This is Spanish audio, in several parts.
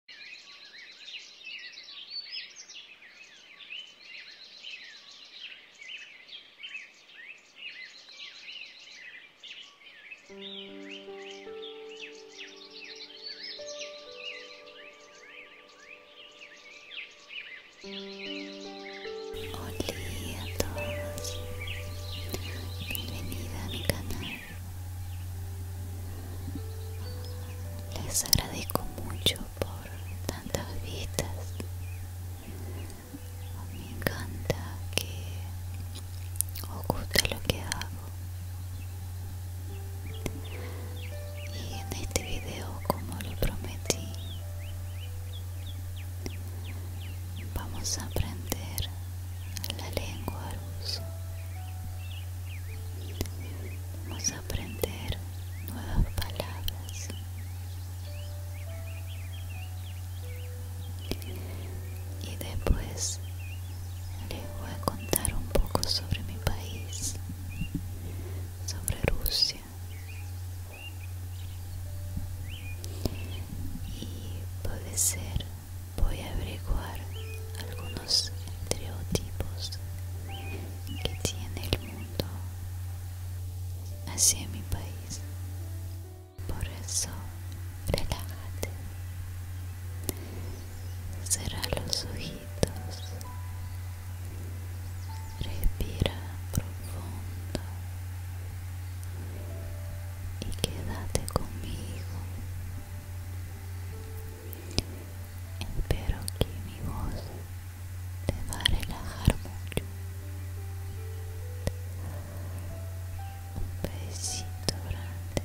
Hola a todos, bienvenida a mi canal les agradezco mucho por tantas vistas. Me encanta que os guste lo que hago. Y en este video, como lo prometí, vamos a aprender la lengua Vamos a aprender nuevas palabras. Y después les voy a contar un poco sobre mi país, sobre Rusia. Y puede ser voy a averiguar algunos estereotipos que tiene el mundo hacia mi país. Por eso, relájate. Cerra los ojitos. Respira profundo. Y quédate conmigo. Espero que mi voz te va a relajar mucho. Un besito grande.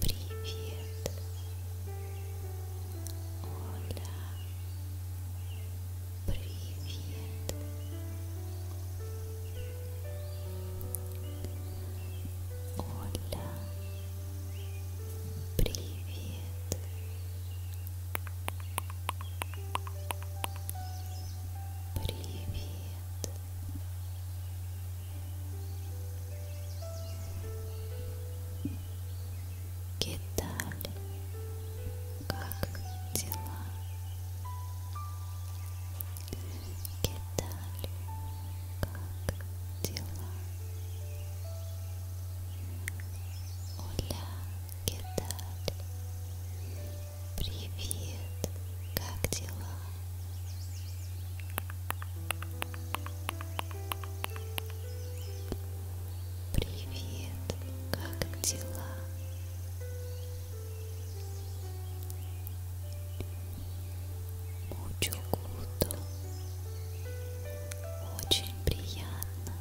Привет. Hola. Оля, привет. Привет. Киталь, как дела? Китали, как дела? Оля, Китали, привет, как дела? Привет, как дела? Mucho gusto. Очень приятно.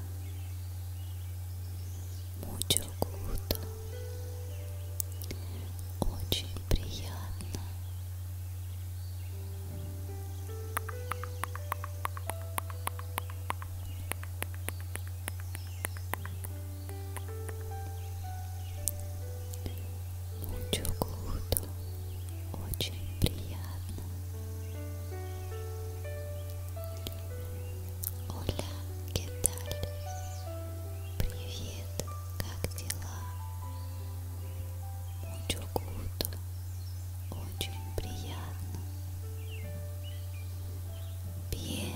Mucho gusto. Очень приятно. Очень приятно. Мучукуту очень приятно. Оля Кедаль, привет, как дела? Мучукуту очень приятно. Bien,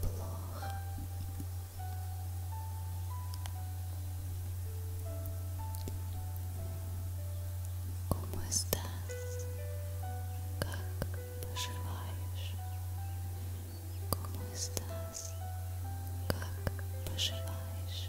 плохо. Кому стас? Как поживаешь? Кому стас? Как поживаешь?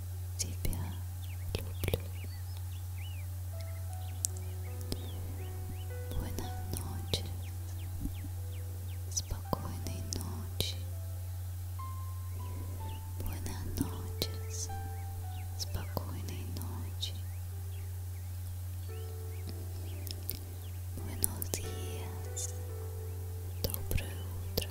тебя люблю. Buenas noches, спокойной ночи. Buenas noches, спокойной ночи. Buenos días, доброе утро.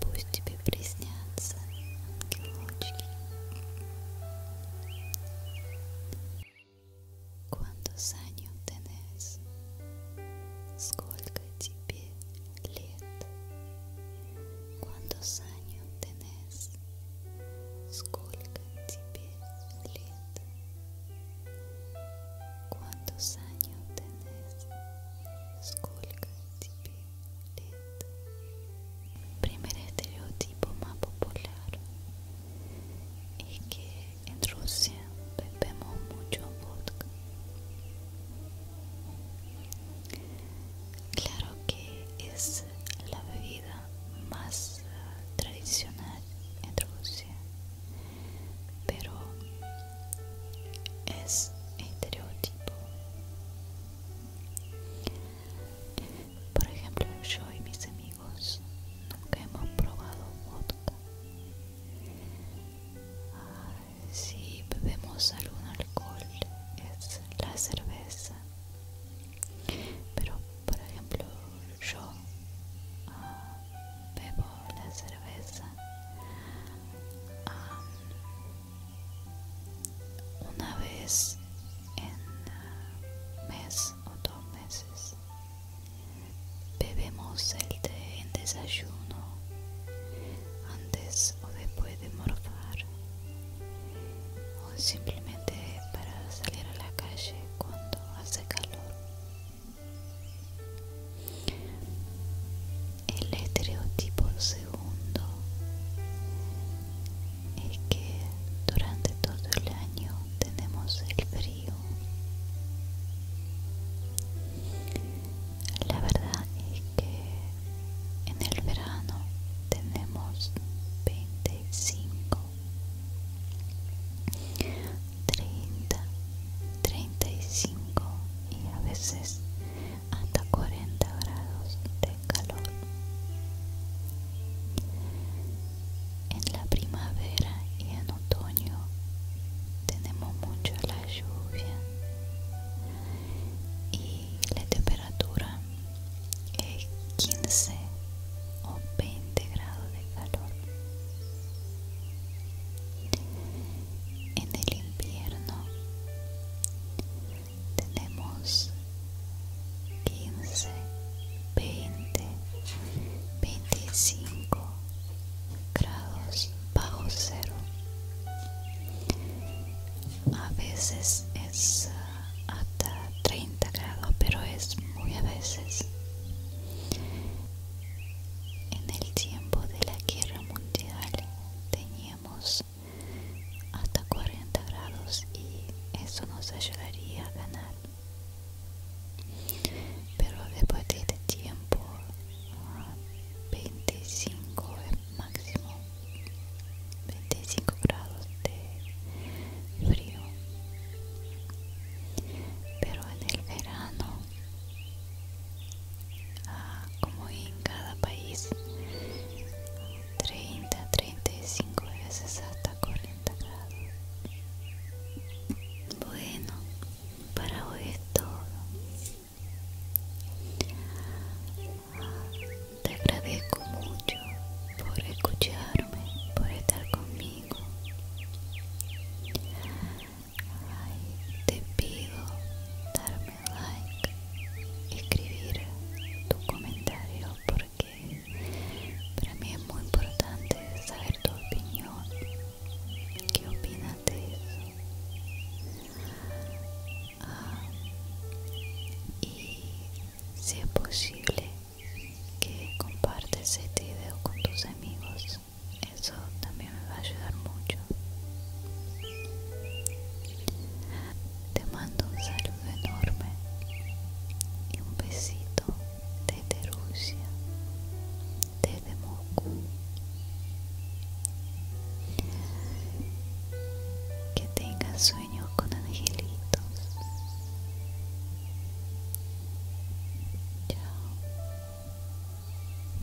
Пусть тебе приснятся ангелочки. Quanto años tenés? Сколько тебе лет? Quantos años tenés? Сколько тебе лет? Quantos años tenés? Primer estereotipo más popular es que en Rusia bebemos mucho vodka. Claro que es la bebida más eh, tradicional en Rusia pero es estereotipo. Por ejemplo, yo y mis amigos nunca hemos probado vodka. si bebemos algún alcohol es la cerveza. Pero, por ejemplo, yo ah, bebo la cerveza una vez en ah, mes o dos meses bebemos el té en desayuno antes o después de morfar o simplemente para salir a la calle cuando hace calor el estereotipo segundo es que durante todo el año tenemos el frío. La verdad es que en el verano tenemos 25, 30, 35 y a veces hasta 40 grados de calor. En la primavera y en otoño tenemos mucho la lluvia y la temperatura es 15 o 20 grados de calor en el invierno tenemos 15 20 25 grados bajo cero a veces es ah, hasta 30 grados pero es muy a veces en el tiempo de la guerra mundial teníamos hasta 40 grados y eso nos ayudaría a ganar pero después de este tiempo 25 es máximo 25 grados de frío pero en el verano ah, como en cada país 30 35 veces hasta 40 grados bueno para hoy es todo ah, te agradezco mucho por escucharme por estar conmigo te pido darme like, escribir tu comentario porque para mí es muy importante saber tu opinión. ¿Qué opinas de eso? Ah, y si es posible que compartes este video con tus amigos eso también me va a ayudar mucho te mando un saludo enorme y un besito desde Rusia desde Moscú que tengas sueños con angelitos chao